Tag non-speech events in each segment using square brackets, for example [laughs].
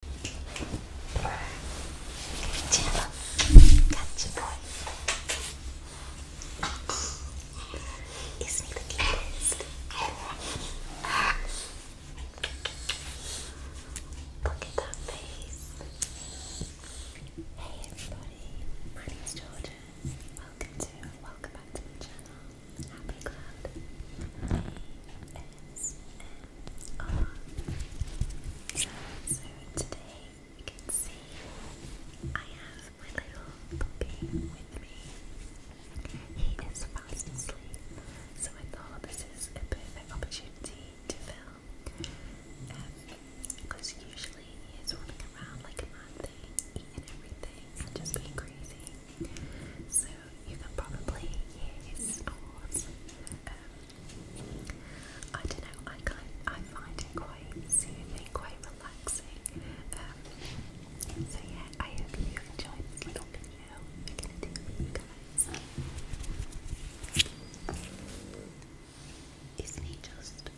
Gemma, that's your boy. Isn't the cutest? Look at that face. Hey everybody, my name's Jordan. Welcome to, welcome back to my channel. Happy Cloud. So, today you can see I have my little puppy with me. He is fast asleep, so I thought this is a perfect opportunity to film. Because usually he is running around like a mad thing, eating everything and just being crazy. So you can probably use ours. Um, I don't know, I, kind, I find it quite soothing, quite relaxing. Um, so yeah, I hope you enjoyed this little video I'm going to do for you guys. Isn't he just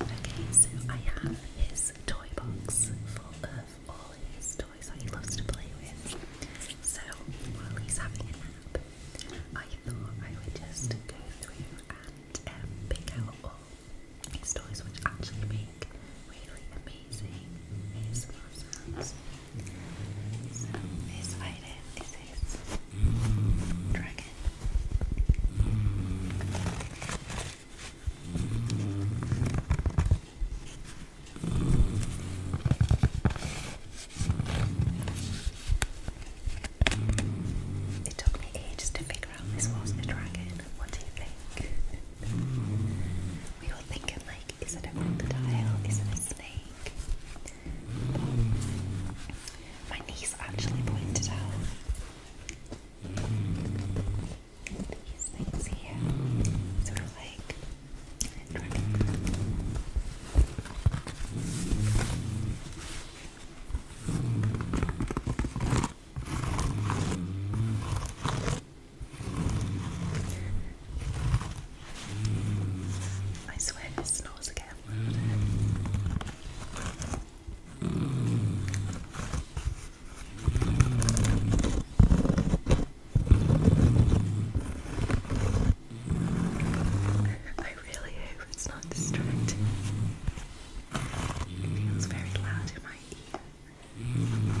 Okay, so I have his toy box full of all his toys that he loves to play with. So while he's having a nap, I thought I would just go through and um, pick out all his toys, which actually make really amazing ASMR sounds. So this item it took me ages to figure out this was a dragon. What do you think? we were thinking like, is it a crocodile? Is it a snake? My niece actually pointed out these things here, sort of like I swear it snores again. I really hope it's not distracting. It feels very loud in my ear.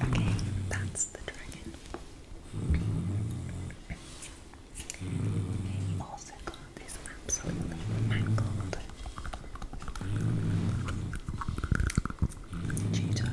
Okay, that's the dragon. They also got this absolutely mangled chew toy.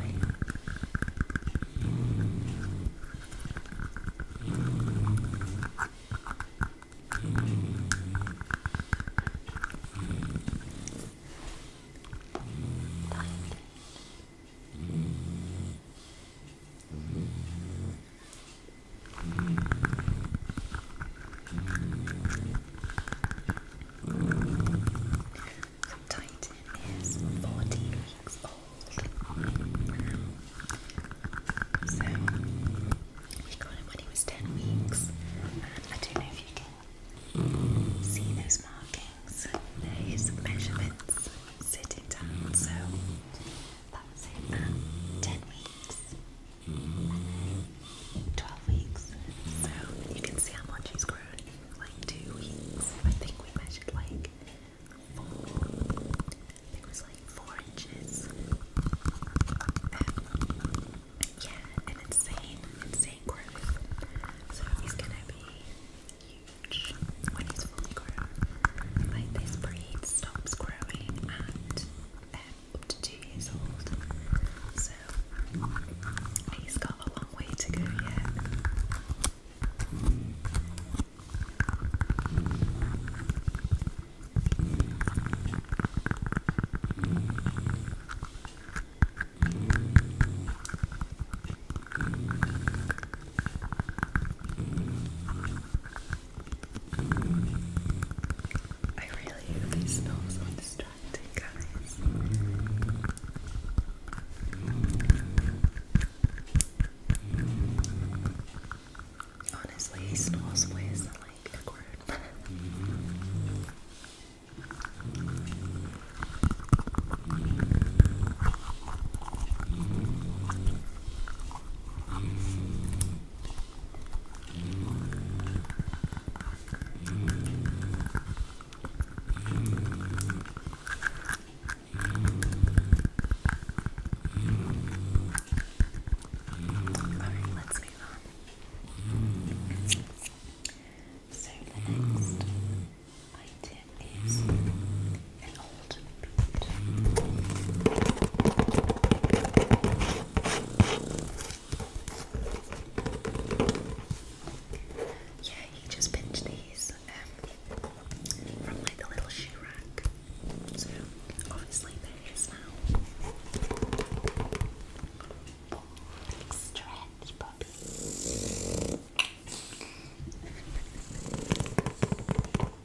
Titan is 40 weeks old. So we got him when he was 10 weeks. I don't know if you can see those markings. There measurements sitting down. So that was 10 weeks, 12 weeks. So you can see how much he's grown like two weeks. I think we measured like four, it was like four inches. yeah, an insane, insane growth. So he's gonna be huge when he's fully grown. Like this breed stops growing at um, up to two years old, so he's got a long way to go yet. I really, really smell so distracting, guys. Honestly, he smells ways that like the word. Alright, let's move on. So the next item is an old Yeah, he just pinched these um, from like the little shoe rack. So obviously there is now. Oh, big stretch, puppy. I'm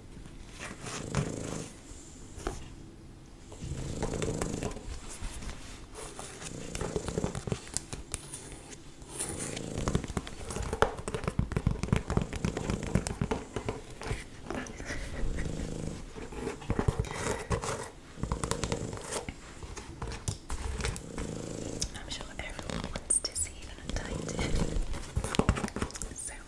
sure everyone wants to see that I did. [laughs]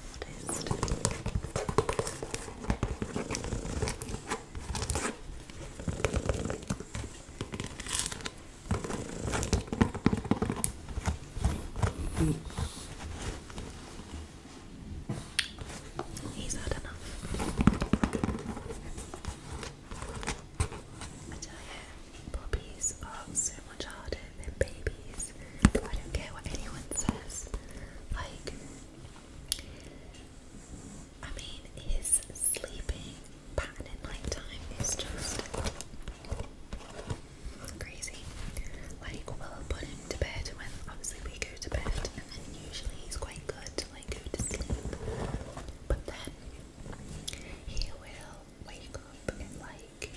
He's had enough. I tell you, puppies are so much harder they're babies. I don't care what anyone says. Like, I mean, his sleeping pattern at night time is just crazy. Like, we'll put him to bed when obviously we go to bed, and then usually he's quite good to like go to sleep. But then he will wake up at like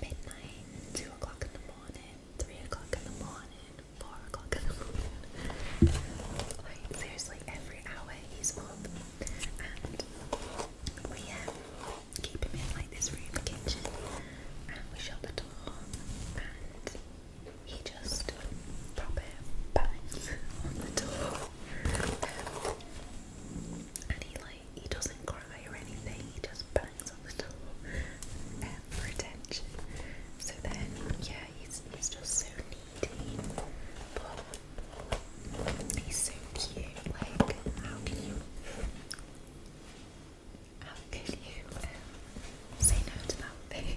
midnight, 2 o'clock in the morning, 3 o'clock in the morning, 4 o'clock in the morning. Like, seriously, every hour he's up. And we um, keep him in like this room, kitchen, and we shut the door, and he just proper bangs [laughs] on the door. Um, and he he doesn't cry or anything, he just bangs on the door for attention. So then, yeah, he's he's just so needy, but he's so cute. Like, how can you, how can you um, say no to that thing?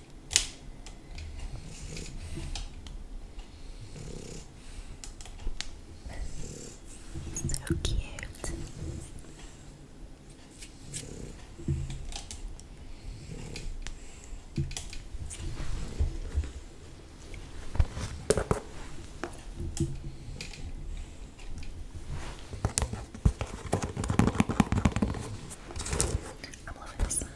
So cute. I'm loving this do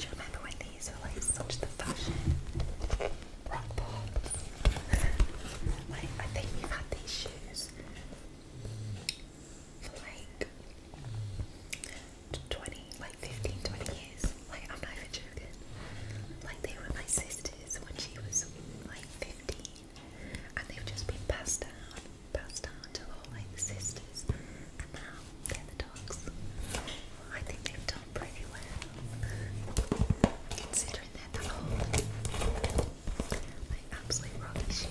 you remember when these were like such the fashion? Rock pops. like, I think we've had these shoes for like 20, like 15, 20 years. Like, I'm not even joking. Like, they were my sister's when she was like 15 and they've just been passed down, passed down to all like sisters, and now they're the dogs. I think they've done pretty well, considering they're that old. Like absolute rocky shoes.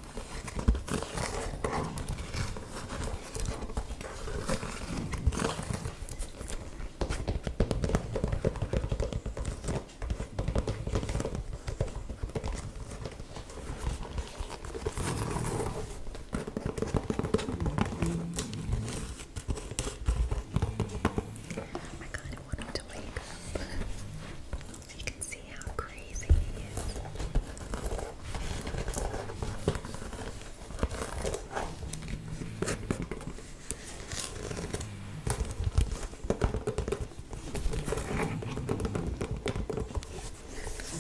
Oh I kind of want him to wake up. You can see how crazy he is.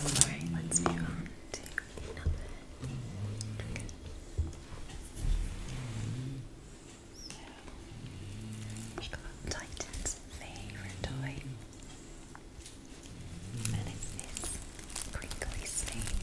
Alright, let's move on to another. we got Titan's favorite toy. What is this crinkly snake?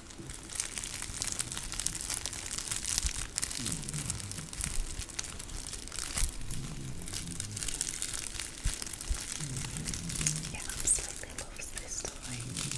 Yeah, I'm slightly loose this time.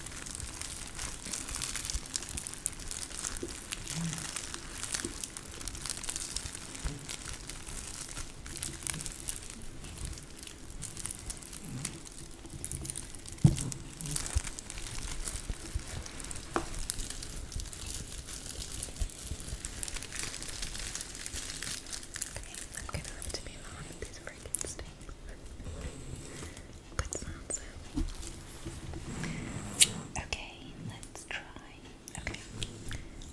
Okay, I'm gonna have to be on these freaking Okay, let's try. Okay,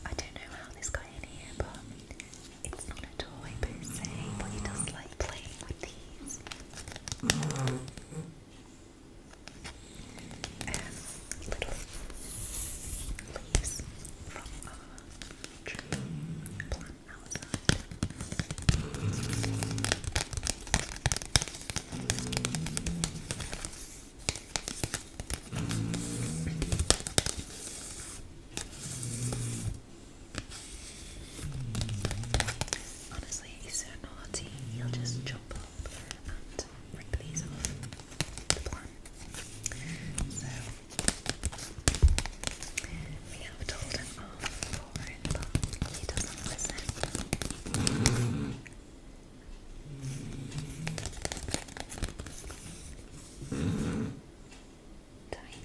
I don't know how this guy in here, but it's not a toy per se, but he does like playing with these. Um, little leaves from our tree plant. Honestly, he's so naughty, he'll just jump up and rip these off the plant. So we have told him off for he doesn't listen. Tight.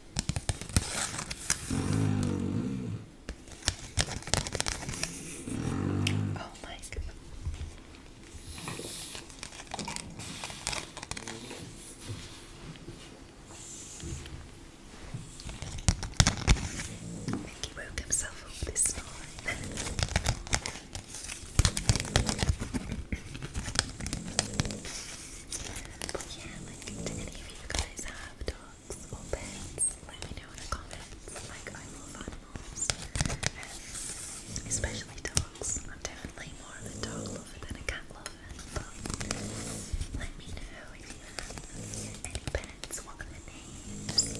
Oh my god. Mickey [laughs] woke himself up this night. [laughs] But yeah, like, do any of you guys have dogs or pets? Let me know in the comments. Like, I love animals, um, especially dogs. I'm definitely more of a dog lover than a cat lover. But let me know if you have any pets. What are their names?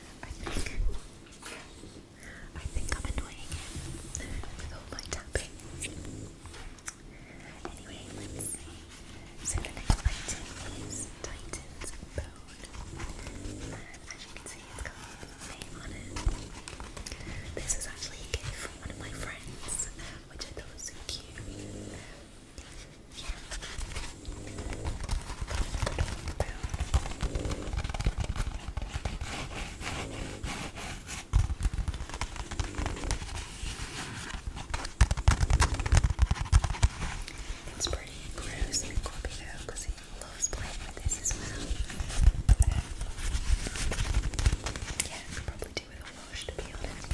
I think I think I'm annoying him with all my tapping. Anyway, let's see. So the next item is Titan's Bone. And as you can see it's got a name This is actually a gift from one of my friends, which I thought was so cute. It's pretty gross and Scorpio because he loves playing with this as well. Um, yeah, I could probably do with a wash to be honest.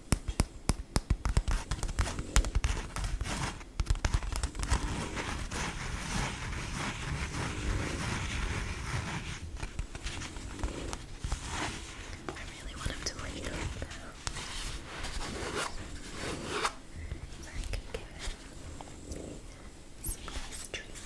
I really want him to wake up now. So I can give him some nice treats.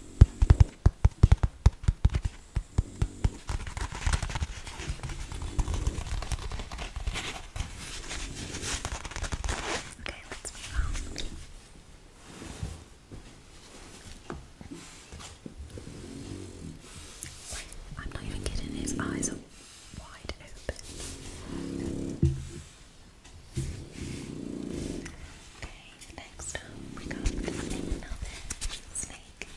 Okay, let's move on. I'm not even kidding, his eyes are wide open. Okay, next we got another snake.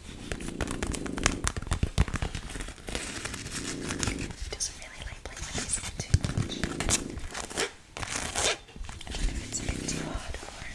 Doesn't really like playing with this one too much. I wonder it's a too hard for him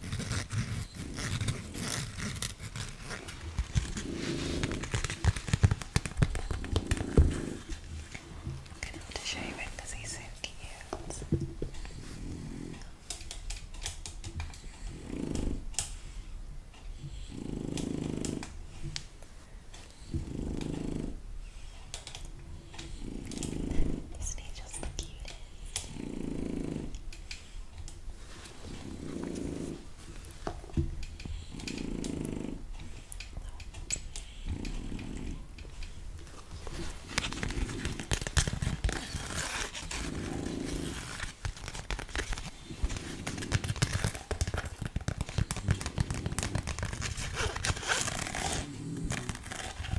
I'm gonna have to show you it because he's so cute. Isn't he just the cutest?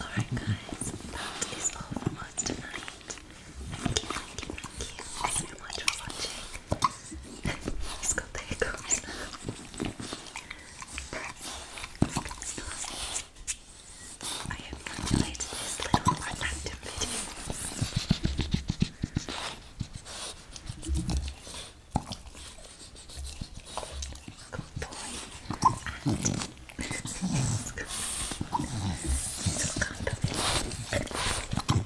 Alright, guys, that is all from tonight. Thank you, thank you, thank you so much for watching. He's got the hiccups now. I have calculated this little activity. Good boy. it's good. It's kind and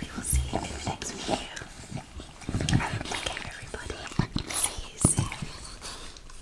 we will see you next video. Take care, everybody. See you soon.